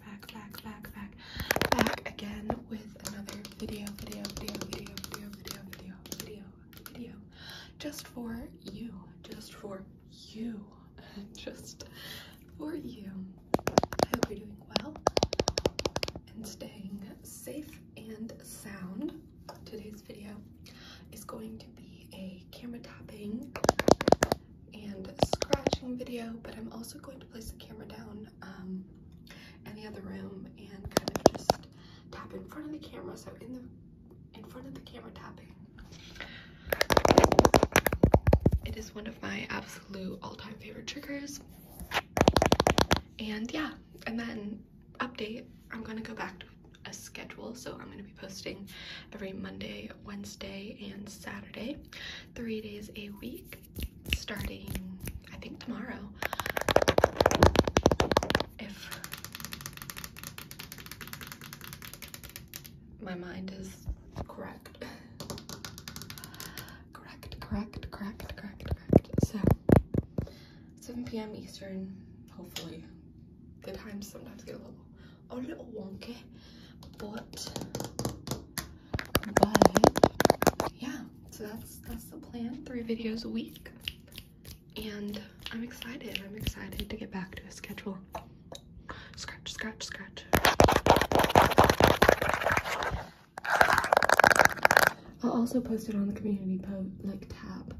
back, back, back, back, back again with another video, video, video, video, video, video, video, video, video, just for you, just for you, just for you. I hope you're doing well and staying safe and sound. Today's video is going to be a camera tapping and scratching video, but I'm also going to place the camera down um, in the other room and kind of just tap in front of the camera. So in the in front of the camera tapping. It is one of my absolute all-time favorite triggers. And yeah, and then update, I'm gonna go back to a schedule. So I'm gonna be posting every Monday, Wednesday, and Saturday, three days a week starting I think tomorrow. If my mind is correct. correct, correct, correct, correct, So 7 p.m. Eastern, hopefully. The times sometimes get a little a little wonky, but but yeah so that's that's the plan three videos a week and i'm excited i'm excited to get back to a schedule scratch scratch scratch i'll also post it on the community post like tab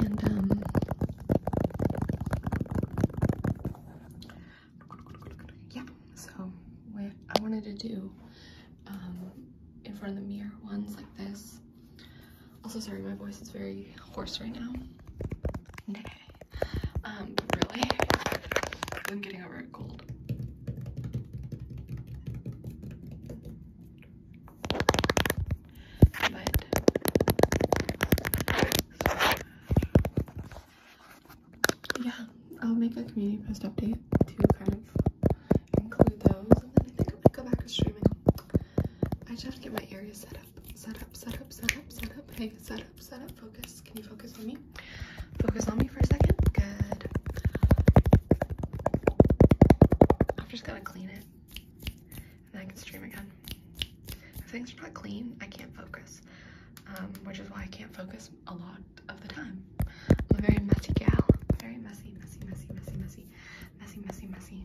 and, um, yeah, so what I wanted to do um, in front of the mirror ones like this. Also, sorry, my voice is very hoarse right now. Um, but really, I'm getting a a cold yeah, I'll make a community post update to kind of include those. And then I think I'm gonna go back to streaming. I just have to get my area set up, set up, set up, set up, set up. Hey, set up, set up, focus. Can you focus on me? Focus on me for a second. Good. I'm just gonna clean it. And then I can stream again. If things are not clean, I can't focus. Um, which is why I can't focus a lot of the time. I'm very messy gal. Very messy, messy, messy, messy, messy, messy, messy, messy.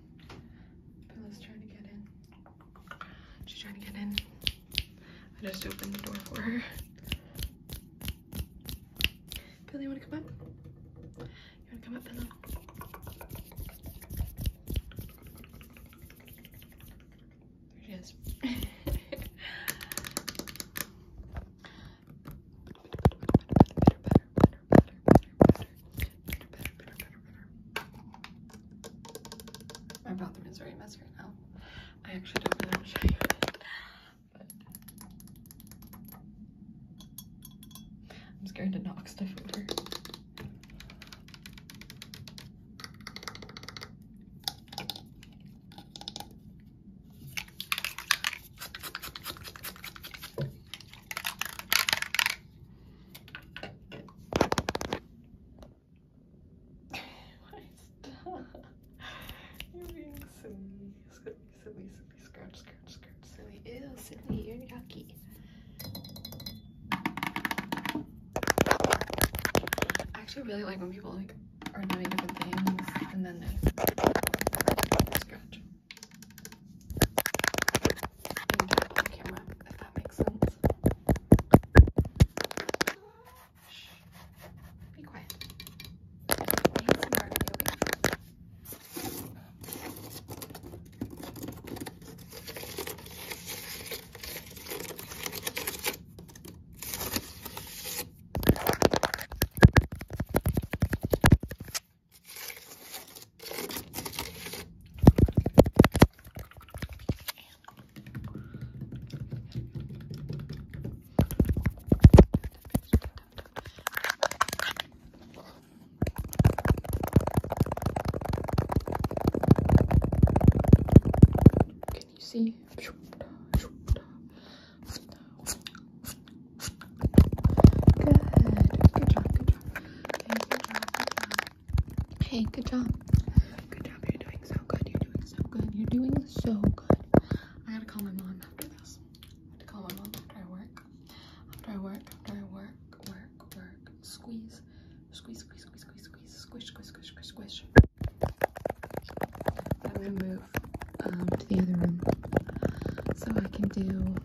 Bella's trying to get in. She's trying to get in. I just opened the door for her. Bella, you wanna come up? You wanna come up, Bella? There better, better, my bathroom is very messy right now. I actually don't know how to show you it. But I'm scared to knock stuff over. You're being silly. Silly, silly, silly. Scratch, scratch, scratch. Silly. Ew, silly. You're yucky. I actually really like when people like are doing different things and then they scratch the camera, if that makes sense. Shh. Be quiet. Need some barbecue leaves. Can you see? Good job, good job. Okay, good job, good job. Hey, good job. Good job, you're doing so good. You're doing so good. You're doing so good. I gotta call my mom after this. I have to call my mom after I work. After I work, after I work, work, work. Squeeze, squeeze, squeeze, squeeze, squeeze, squeeze, squish, squish, squish, squish, squish. That my mood um, to the other room so I can do.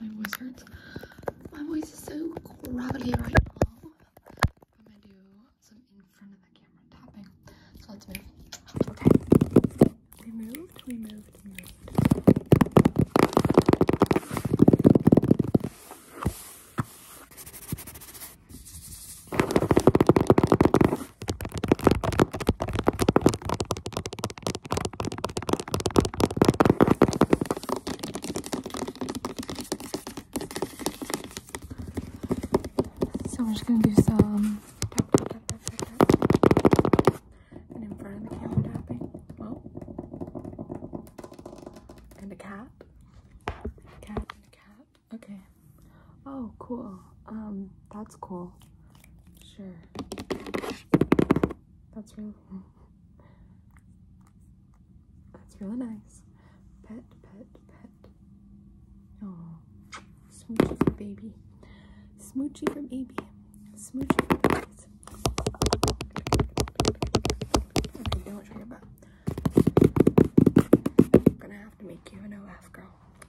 my voice hurts. My voice is so gravelly right now. I'm gonna do some in front of the camera tapping. So let's move. Okay. We moved, we so we're just gonna do some and in front of the camera tapping. Oh and a cap, And a cat and a cat. Okay. Oh, cool. Um, that's cool. Sure. That's really That's really nice. Pet, pet, pet. Oh. Smoochy for baby. Smoochy from baby. Smoochy Okay, don't try your butt. gonna have to make you an OF girl.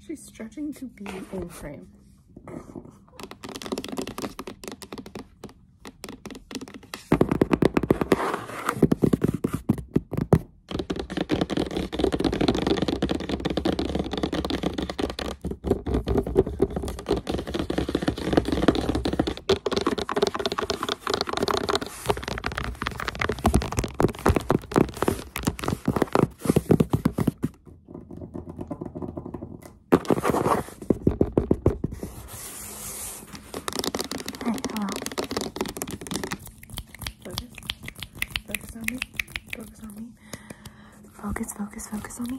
She's stretching to be in frame hello. Focus. Focus on me. Focus on me. Focus, focus, focus on me.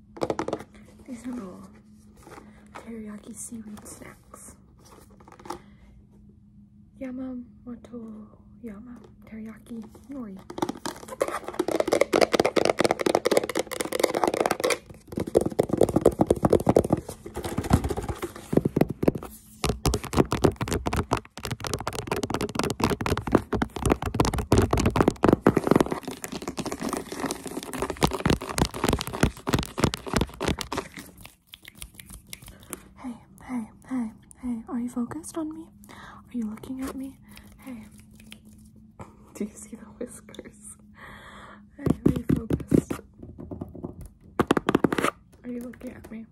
These are all teriyaki seaweed snacks. Yamamoto Yama Teriyaki Nori. Hey, hey, hey, hey, are you focused on me? Are you looking at me? Hey, do you see the whiskers? are you focused? Are you looking at me?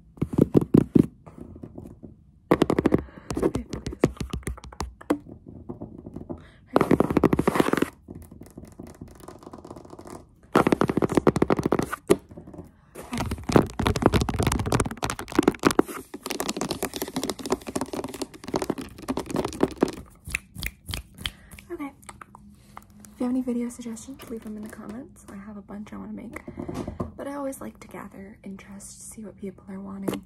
Okay. If you have any video suggestions, leave them in the comments. I have a bunch I want to make, but I always like to gather interest, see what people are wanting.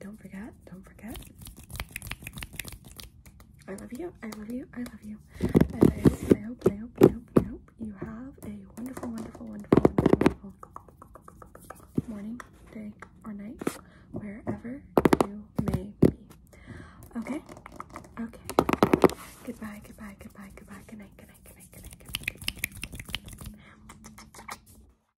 don't forget. Don't forget. I love you. I love you. I love you. And I hope, I hope, I hope, I hope, I hope you have a wonderful, wonderful, wonderful, wonderful morning, day, or night, wherever you may be. Okay? Okay. Goodbye, goodbye, goodbye, goodbye, good night, good night, good night, good night, good night. Good night.